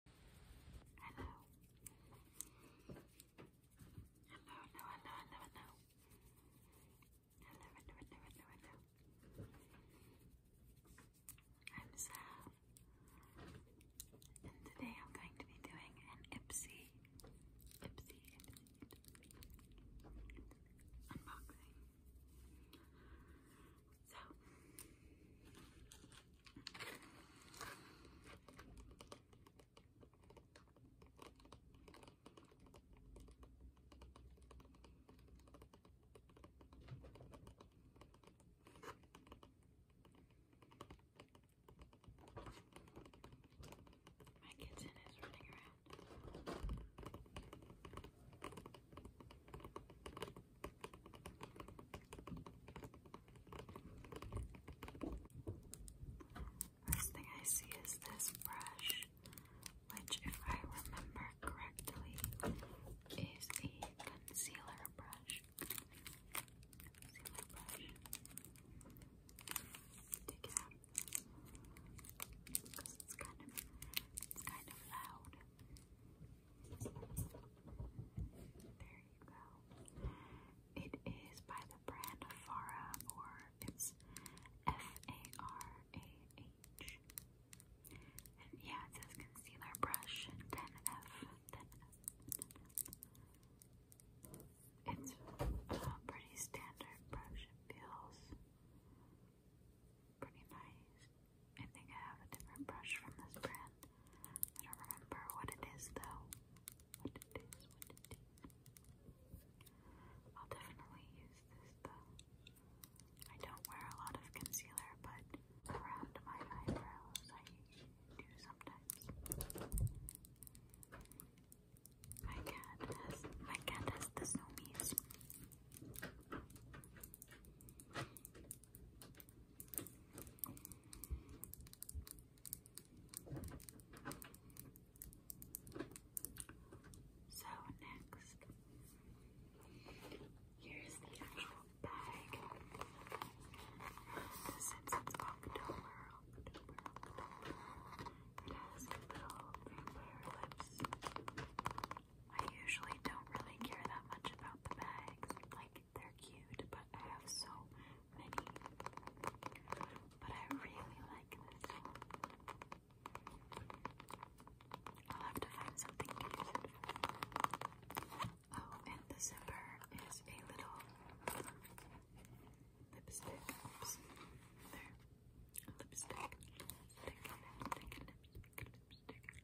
Hello. Hello, hello, hello, hello, hello. Hello, hello, hello, hello, hello. I'm Sam. And today I'm going to be doing an Ipsy, Ipsy, Ipsy, Ipsy, Ipsy unboxing. So my kitchen is running around. First thing I see is this brush, which, if I remember correctly, is a concealer brush. Concealer brush. Take it out because it's kind of, kind of loud. There you go. It is by the brand Farah, or it's F-A-R-A-H. yeah, it says concealer brush 10F. 10F. It's a uh, pretty standard brush. It feels pretty nice. I think I have a different brush from this brand. I don't remember what it is though. What it is, what it is. I'll definitely use this though. I don't wear a lot of concealer, but around my eyebrows I do sometimes. My cat has my cat has the zoomies. So next, here's the actual bag. Since it's October, it has little vampire lips I usually don't really care that much about the bags. Like, they're cute, but I have so many. But I really like this I'll have to find something to use it for. Oh, and the zipper is a little lipstick. Oops. There. Lipstick. Lipstick. Lipstick. Lipstick. Lipstick.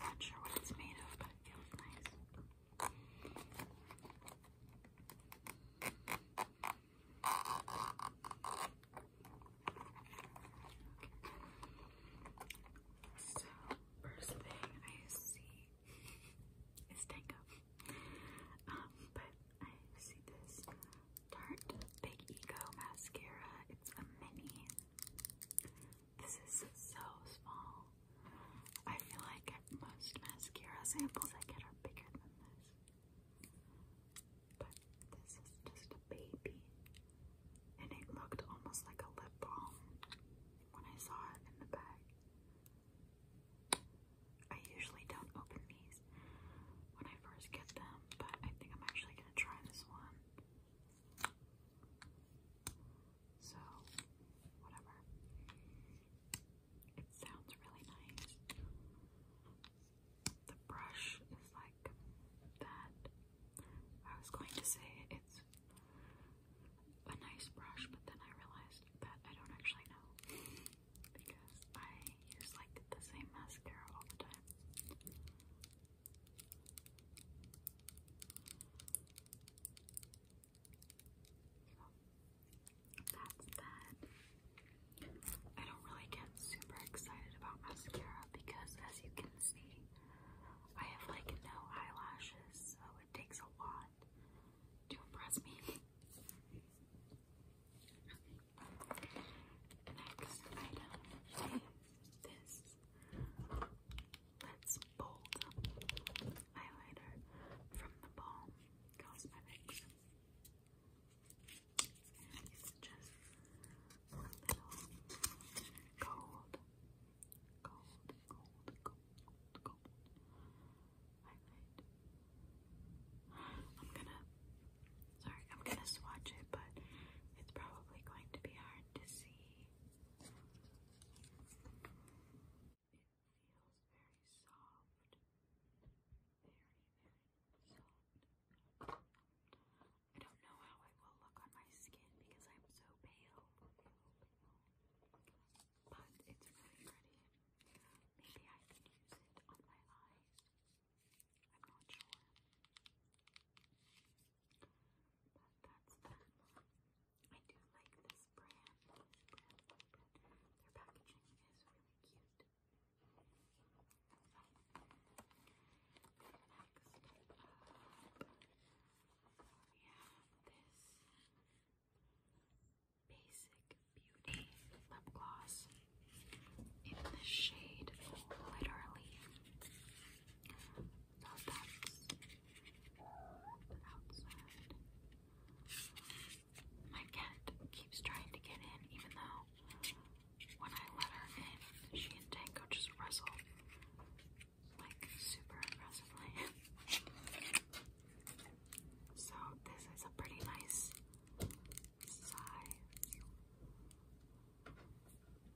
Not sure what it's made of, but it feels nice. So, first thing I see is Tango. Um, but I see this Tarte Big Ego Mascara. It's a mini. This is so small. I feel like most mascara samples I get are bigger than this. But this is just a baby. And it looked almost like a lip balm when I saw it in the bag. I usually don't open these when I first get them, but I think I'm actually gonna try this one. So, whatever. It sounds really nice. The brush is like that. I was going to say it's a nice brush, but then I realized that I don't actually know because I use like the same mascara all the time. So that's that. I don't really get super excited about mascara because as you can see, I have like no eyelashes, so it takes a lot to impress me. Next item is this Let's Bold highlighter from the Balm Cosmetics. It's just a little gold, gold, gold, gold, gold I'm gonna, sorry, I'm gonna swatch it, but it's probably going to be hard to see. It feels very soft, very, very soft. I don't know how it will look on my skin because I'm so pale. but it's really pretty. Maybe I can use it on my eyes. I'm not sure. But that's that. I do like this brand. Their packaging is really cute. next uh, we have this Basic Beauty lip gloss in the shade Literally. So that's the outside. My cat keeps trying to get in, even though when I let her in, she and Tango just wrestle like super aggressively. So this is a pretty nice size.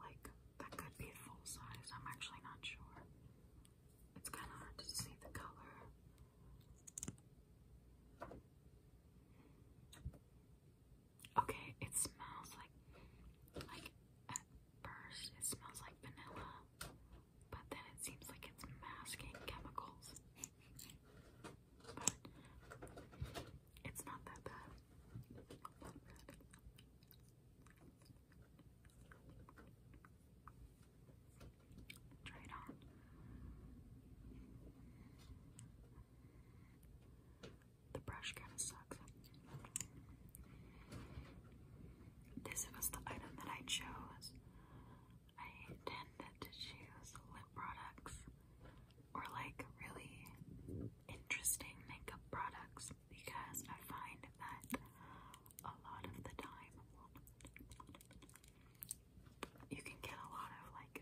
Like that could be full size. I'm actually not sure. It's kind of hard to see the color. Okay, it smells like like at first it smells like vanilla but then it seems like it's masking chemicals. But it's not that bad. Try it on. The brush kind of sucks. This was the item that I chose. I tend to choose lip products or like really interesting makeup products because I find that a lot of the time you can get a lot of like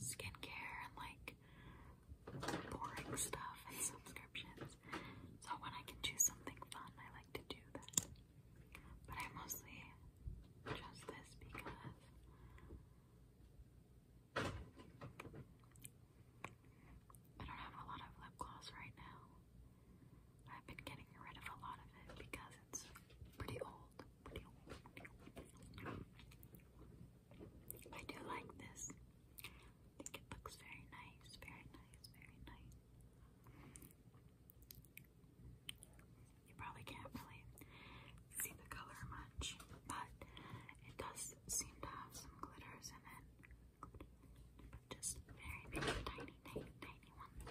skincare and like boring stuff and subscriptions. So when I can choose something fun, I like to do that. But I mostly just this because I don't have a lot of lip gloss right now. I've been getting rid of a lot of it because it's pretty old. I do like this. I think it looks very nice, very nice, very nice. You probably can't really see the color much, but it does seem to have some glitters in it. just very, very tiny, tiny, tiny ones.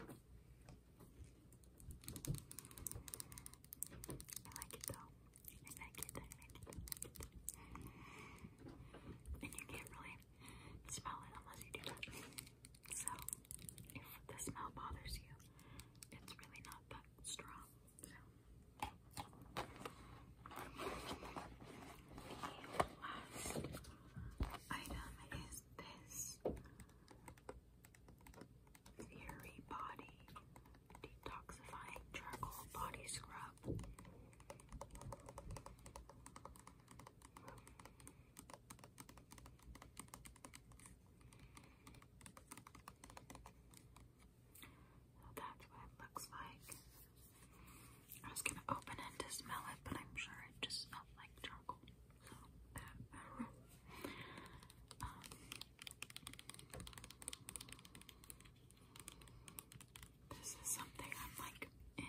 I like it though. I like it, I like it. And you can't really smell it unless you do that. So, if the smell bothers you, it's really not that strong. So, last item is this Fury Body Detoxifying Charcoal Body Scrub that's what it looks like. I was gonna open it to smell it, but I'm sure it just smells like charcoal. Um, this is something I'm like, eh,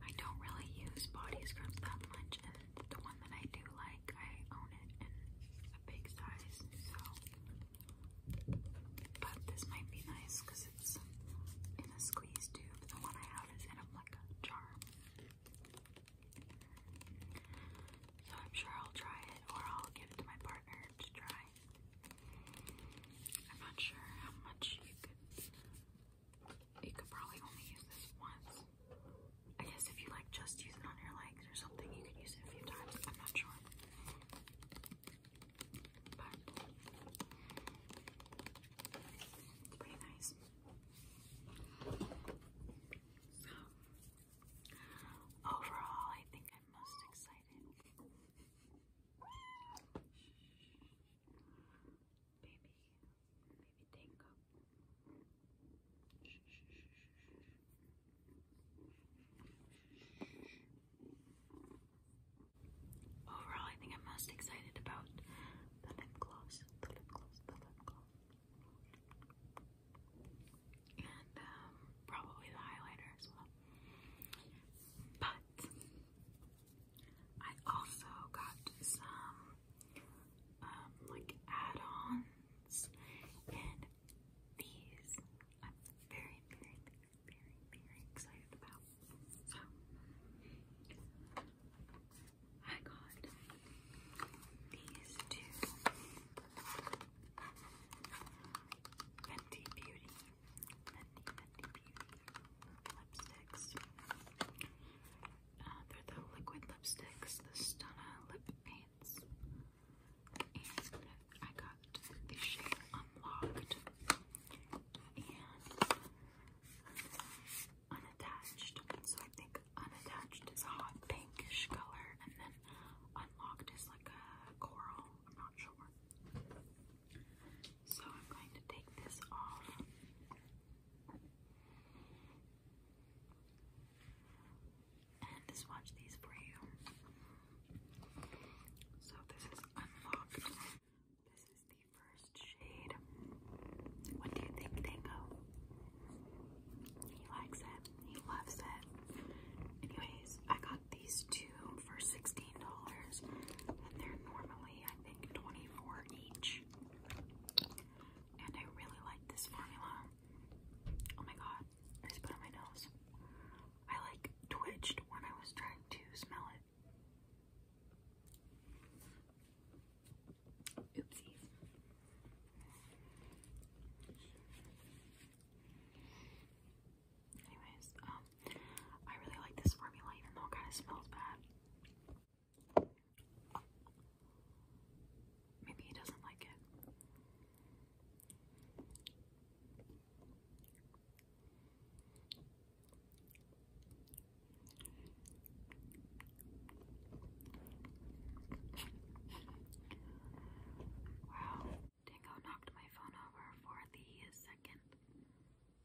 I don't really use body scrubs that much, and the one that I do like, I own it in a big size, so. But this might be nice because it's in a squeeze tube. The one I have is in um, like a jar. So I'm sure I'll try it or I'll give it to my partner to try. I'm not sure how much you could you could probably only use this once. I guess if you like just use it on your legs or something, you can use it a few times. I'm not sure. But it's pretty nice. So overall I think I'm most excited baby, baby tango. Overall, I think I'm most excited about the lip gloss, the lip gloss, the lip gloss, and um, probably the highlighter as well. But I also got some um, like add-ons and these I'm very, very, very, very, very excited about. So I got these two Fenty Beauty lipsticks. Uh, they're the liquid lipsticks, the Stunna lip paints. And I got the shade unlocked and unattached. So I think unattached is a hot pinkish color, and then unlocked is like a coral. I'm not sure. So I'm going to take this off. And swatch these for you. So this is unlocked. This is the first shade. What do you think, Tango? He likes it. He loves it. Anyways, I got these two for $16, and they're normally, I think, 24 each. And I really like this formula. Oh my god, I just put on my nose. I like twitched when I was trying to smell it. Oopsies. Anyways, um, I really like this formula even though it kind of smells bad. Maybe he doesn't like it. Wow, Dingo knocked my phone over for the second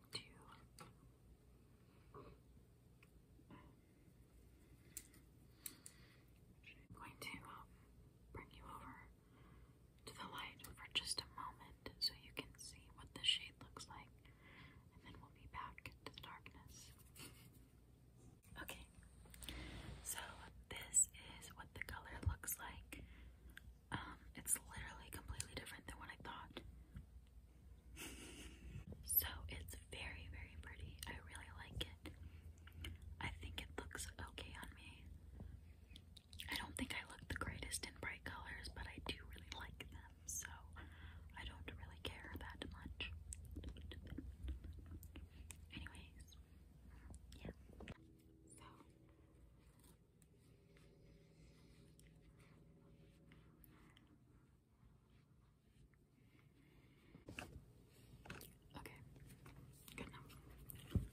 I'm going to uh, bring you over to the light for just a moment so you can see what the shade looks like, and then we'll be back to the darkness. Okay, so this is what the color looks like. Um, it's literally completely different than what I thought. so it's very, very pretty. I really like it. I think it looks okay on me. I don't think I look the greatest in bright colors, but I do really like them, so I don't really care that much. Anyways, yeah. So Okay. Good enough. Good enough.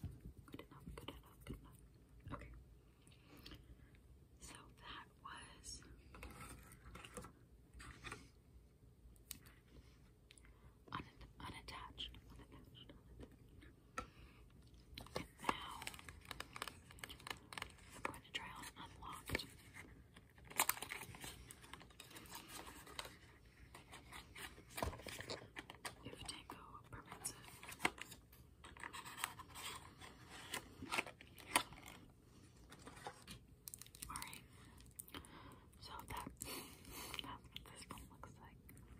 Good enough. Good enough. Okay. So that was Unattached. And now I'm going to try on unlocked. If Tango permits it. Alright. So that that's what this one looks like.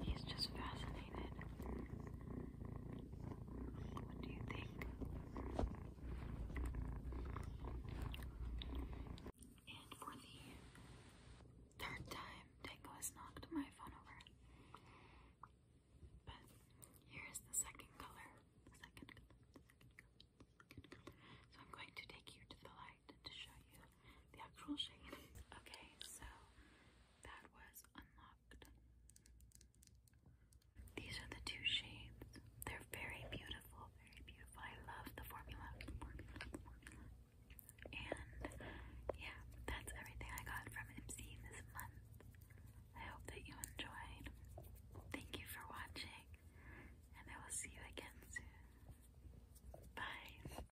He's just fascinated. What do you think? And for the third time, Deco has knocked my phone over. But here is The second color. So I'm going to take you to the light to show you the actual shade. Okay, so that was unlocked. These are the two shades. They're very beautiful, very beautiful. I love the formula. And yeah, that's everything I got from MC this month. I hope that you enjoyed. Thank you for watching, and I will see you again soon. Bye.